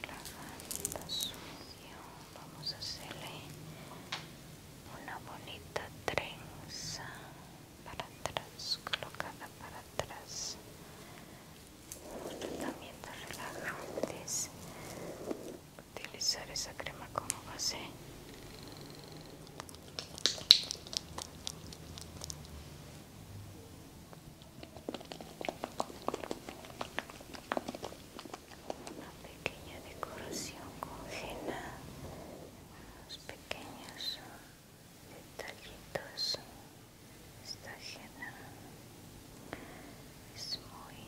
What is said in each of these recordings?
Relajando vamos a hacerle una bonita trenza para atrás, colocada para atrás. También relajantes. Utilizar esa crema como base una pequeña decoración con Jena, unos pequeños detallitos esta Jena es muy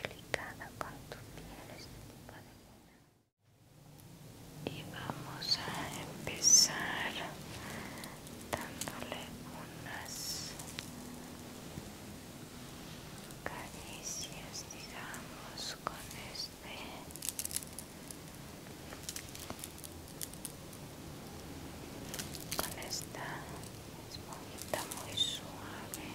delicada con tu piel este tipo de y vamos a empezar dándole unas caricias digamos con este con esta esponjita muy suave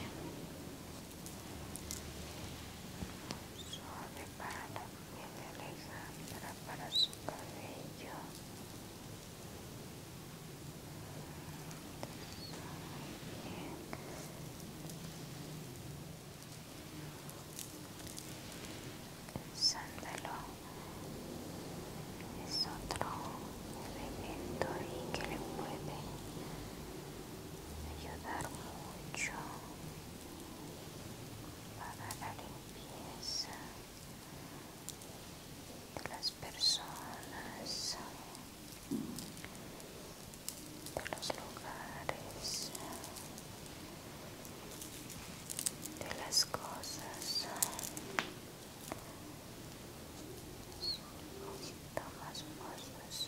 suave para la piel de Alejandra para su cabello sándalo es otro elemento que le puede ayudar mucho para la limpieza de las personas, de los lugares, de las cosas. tomas poquito más más,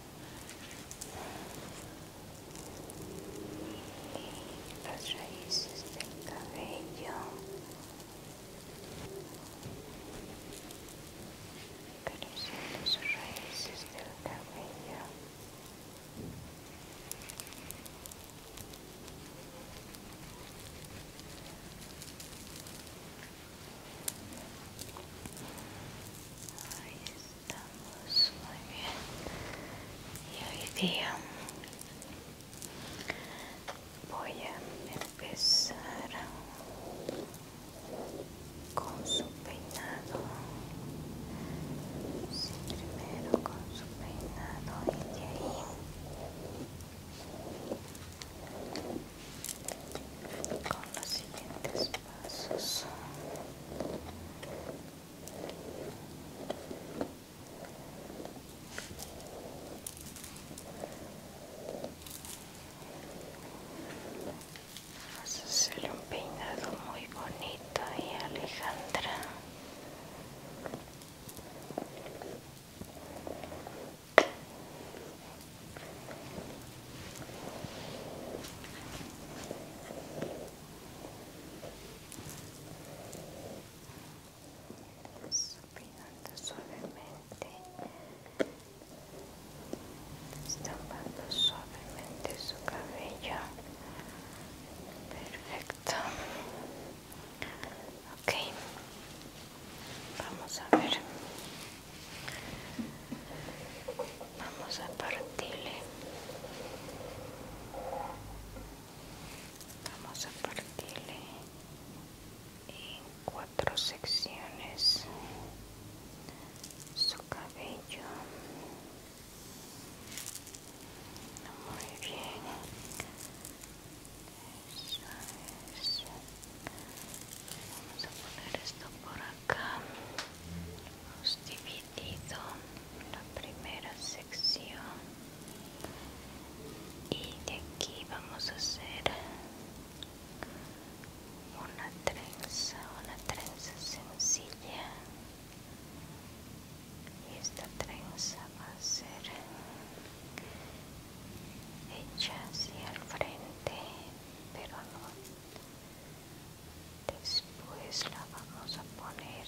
las raíces del cabello acariciando las raíces del cabello estamos muy bien y hoy día voy a empezar con su peinado primero con su peinado y de ahí con los siguientes vamos a hacerle un peinado muy bonito y Alejandra subiendo suavemente estampando suavemente su cabello perfecto ok vamos a ver Vamos a partirle. Vamos a partirle en cuatro secciones su cabello. Muy bien. Vamos a poner esto por acá acá hemos dividido la primera sección y de aquí vamos a hacer una trenza una trenza sencilla y esta trenza va a ser hecha hacia el frente pero no después la vamos a poner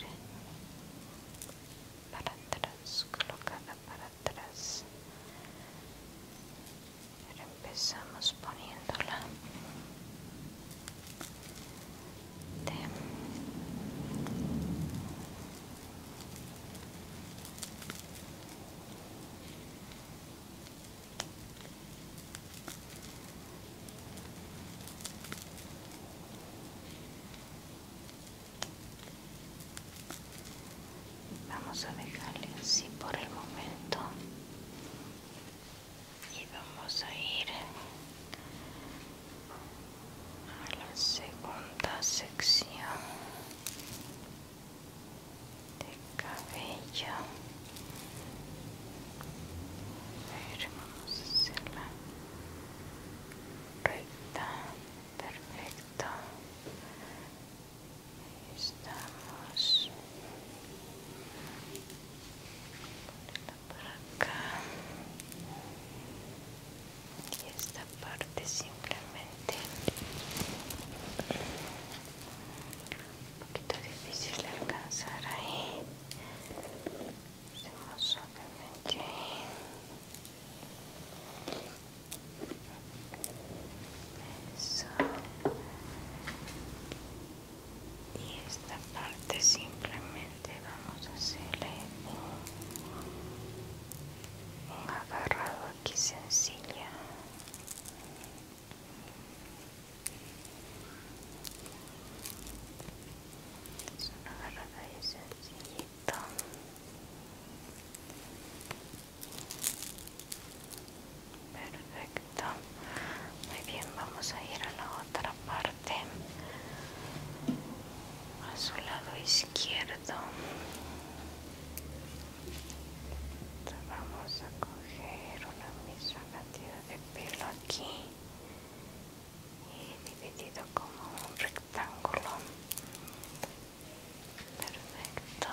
para atrás colocada para atrás empezamos poniéndola de Vamos a dejarle así por el momento y vamos a ir a la segunda sección de cabello a vamos a hacerla recta perfecto Ahí estamos por acá y esta parte simplemente un poquito difícil de alcanzar ahí hacemos eso y esta parte simplemente vamos a hacerle un agarrado aquí sencilla es una agarrada y sencillito. Perfecto. Muy bien, vamos a ir a la otra parte. A su lado izquierdo. vamos a coger una misma cantidad de pelo aquí y dividido como un rectángulo perfecto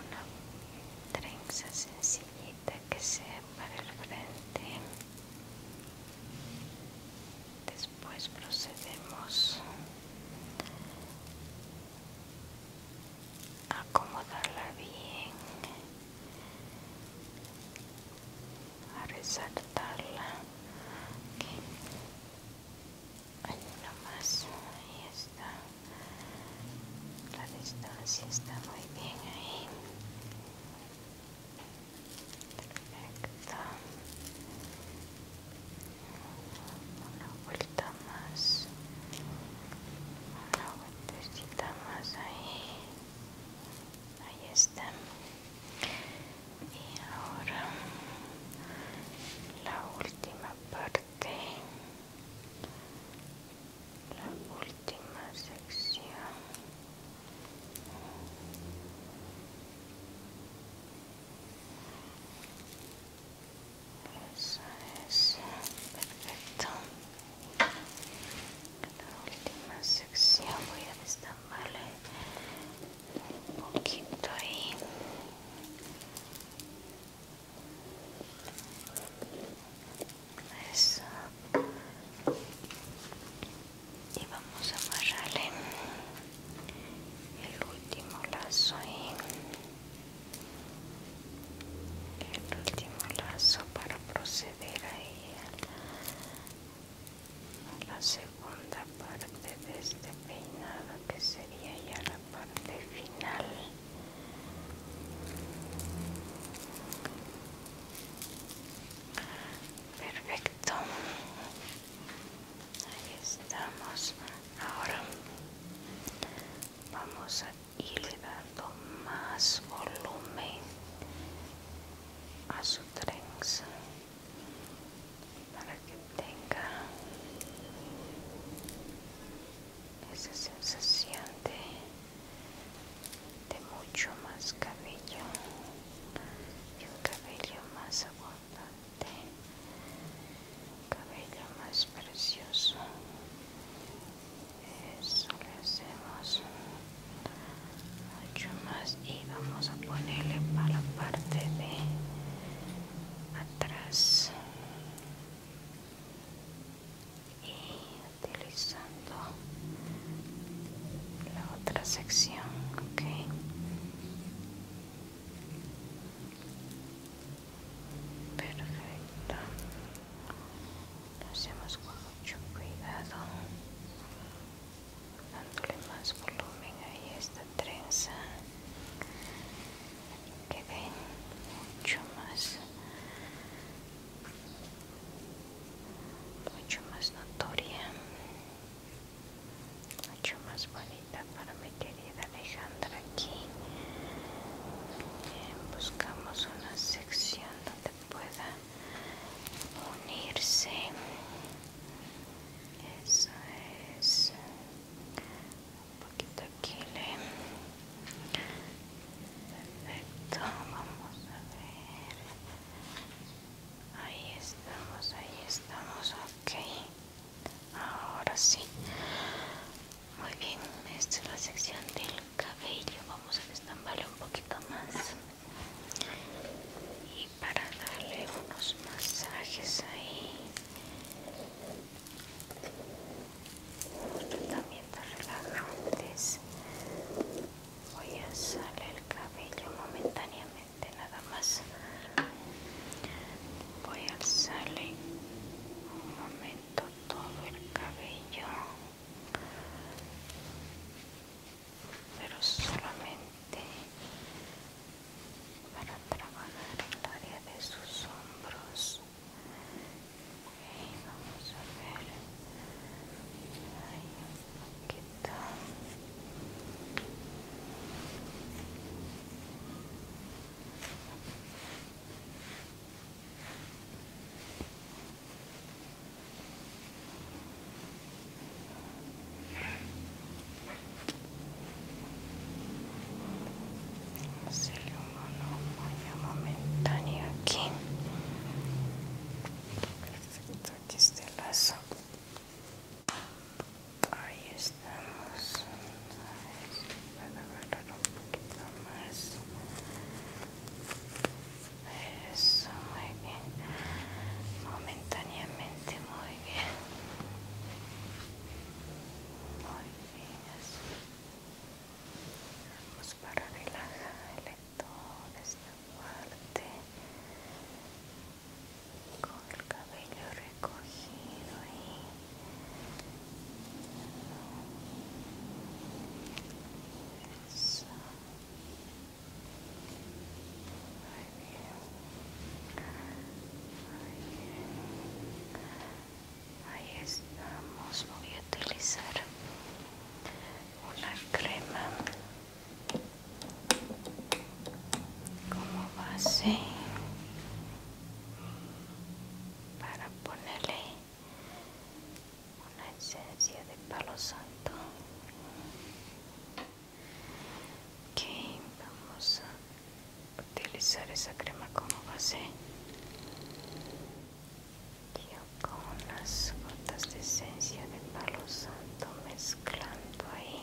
una trenza sencillita que sea para el frente después procedemos acomodarla bien, a resaltarla. Okay. más, ahí está. La distancia está muy bien ahí. Perfecto una vuelta más una vueltecita más ahí ahí está y ahora la última parte la última sección eso es perfecto. La última sección voy a destamparle un poquito ahí. Eso. Y vamos a amarrarle el último lazo el último lazo para proceder ahí a la segunda parte de este peinado que sería ya la parte final perfecto ahí estamos ahora vamos a ir dando más volumen a su trenza para que tenga esa sensación de, mucho más cabello y un cabello más abundante cabello más precioso eso le hacemos mucho más y vamos a ponerle para la parte de atrás y utilizando la otra sección ok Perfecto. Lo hacemos con mucho cuidado, dándole más volumen a esta trenza, que ven mucho más, mucho más notoria mucho más bonita para mi querida Alejandra aquí buscamos una sección donde pueda unirse eso es un poquito aquí le perfecto vamos a ver ahí estamos ahí estamos ok ahora sí muy bien esta es la sección del cabello vamos a estamparle un poquito más y para darle unos masajes ahí unos tratamientos relajantes voy a salir el cabello momentáneamente nada más voy a alzarle un momento todo el cabello pero solamente para trabajar el área de sus hombros vamos a ver un se el humano mamá, momentáneo aquí. Perfecto, aquí está el lazo ahí estamos a ver si puedo agarrar un poquito más eso muy bien momentáneamente muy bien muy bien así vamos para relajarle toda esta parte con el cabello recogido ahí ahí estamos voy a utilizar una crema como base para ponerle una esencia de palo santo ok vamos a utilizar esa crema como base yo con unas gotas de esencia de palo santo mezclando ahí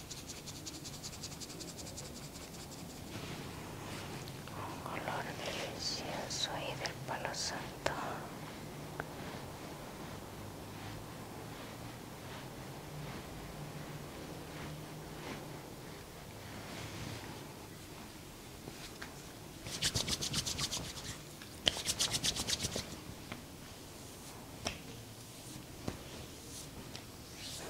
un color delicioso y del palo santo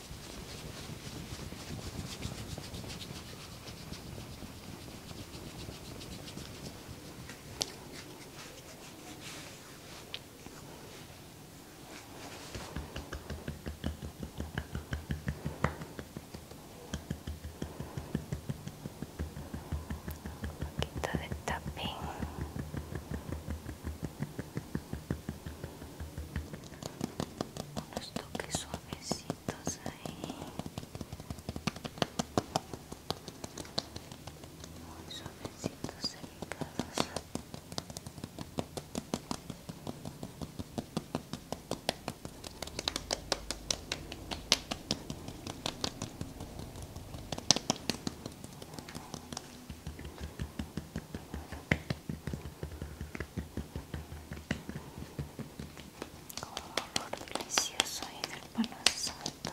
Un poquito de tapping unos toques suavecitos pelitos ahí muy suavecitos delicados Vamos con delicioso y del palo santo.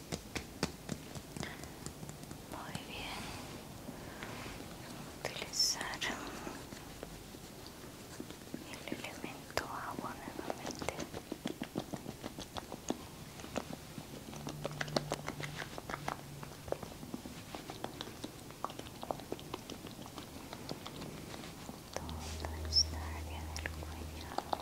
Muy bien. Utilizar el elemento agua nuevamente. Toda esta área del cuello.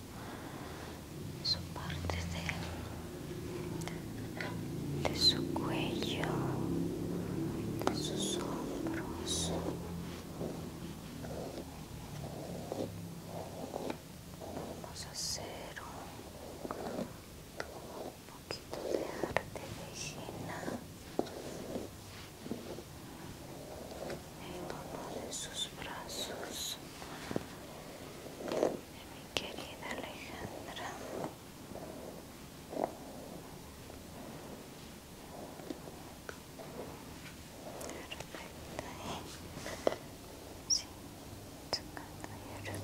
su parte de, su cuello, de sus hombros. Vamos a hacer un, poquito de arte de Gina en uno de sus brazos mi querida Alejandra. Perfecto, sí, sacando y a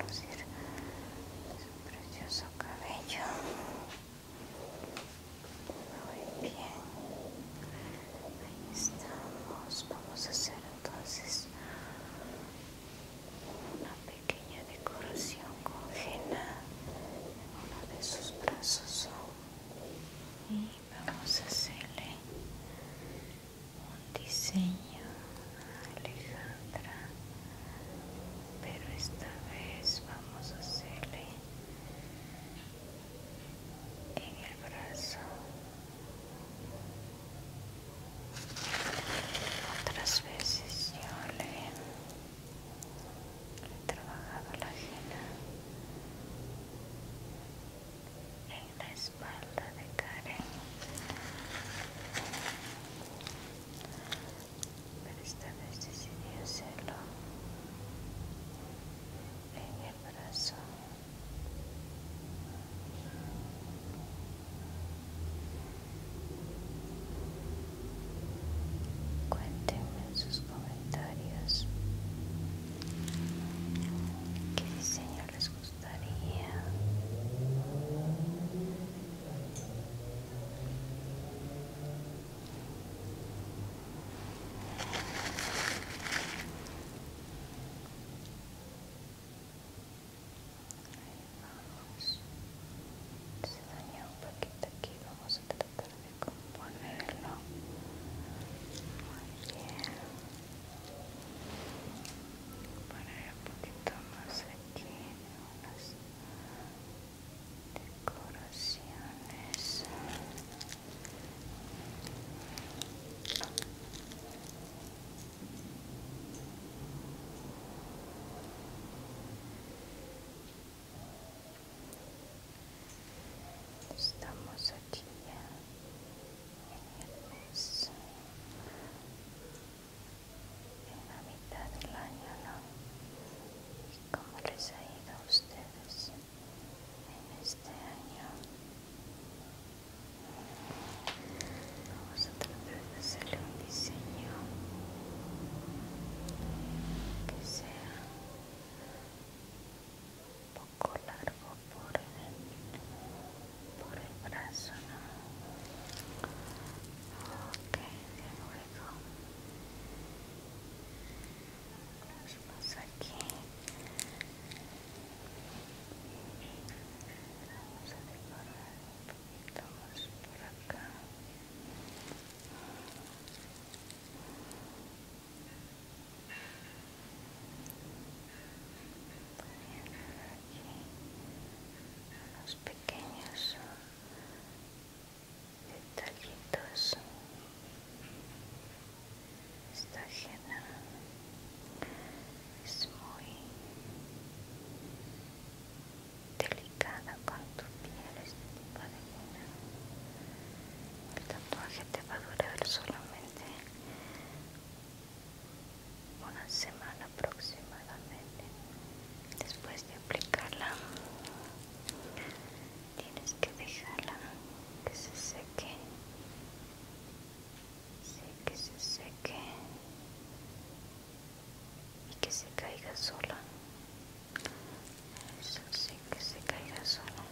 su precioso cabello. Muy bien, ahí estamos. Vamos a hacer entonces una pequeña decoración con en uno de sus brazos y vamos a hacerle un diseño a Alejandra pero esta vez vamos a hacerle en el brazo otras veces yo le he trabajado la jena en la espalda de Karen. Pero esta vez decidí hacerlo en el brazo. Cuéntenme en sus comentarios qué diseño les gustaría ahí vamos se dañó un poquito aquí vamos a tratar de componerlo muy bien poner un poquito más aquí unas decoraciones Estamos aquí ya en el mes, en la mitad del año, ¿no? ¿Y cómo les ha ido a ustedes en este año? Vamos a tratar de hacerle un diseño que sea un poco largo por el, por brazo, ¿no? Ok, de lo nos vamos aquí Vamos a decorar un poquito más por acá. Poniendo aquí unos pequeños detallitos. Esta llena es muy delicada con tu piel este tipo de luna el tatuaje te va a durar solamente una semana aproximadamente después de aplicarla tienes que dejarla que se seque Sé que se seque y que se caiga sola. Eso sí que se caiga sola.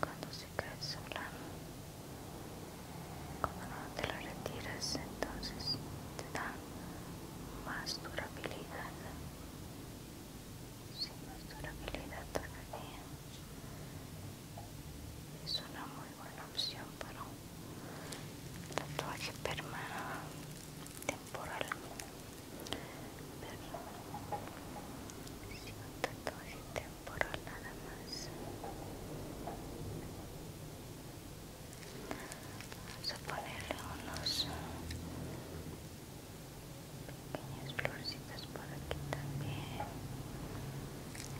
Cuando se cae sola, cuando no te la retiras, entonces te da más durabilidad. más durabilidad es una muy buena opción para un tatuaje permanente temporal pero si un tatuaje temporal nada más vamos a ponerle unos pequeñas florcitas por aquí también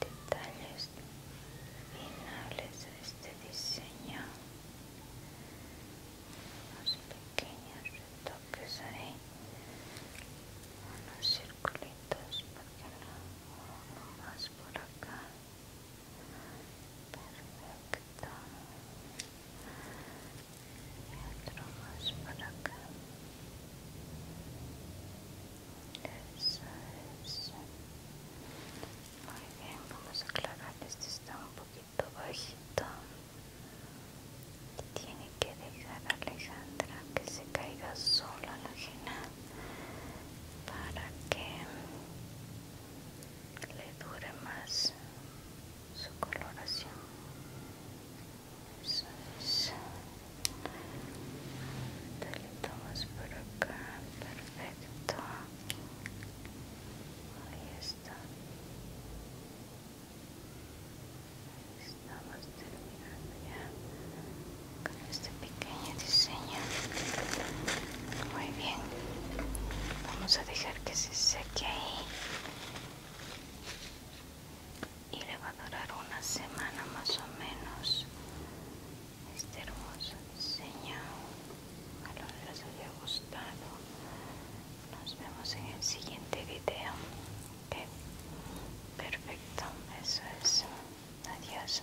detalles finales de este diseño unos pequeños retoques ahí unos circulitos porque no uno más por acá perfecto y otro más por acá muy bien, vamos a aclarar. Este está un poquito bajito. Tiene que dejar a Alejandra que se caiga sola la jena para que le dure más su coloración. Dale, tomas por acá, perfecto. Ahí está. Estamos terminando ya con este pequeño diseño. Muy bien. Vamos a dejar que se seque ahí. Y le va a durar una semana más o menos este hermoso señal espero que les haya gustado. Nos vemos en el siguiente video. Perfecto, eso es. Adiós.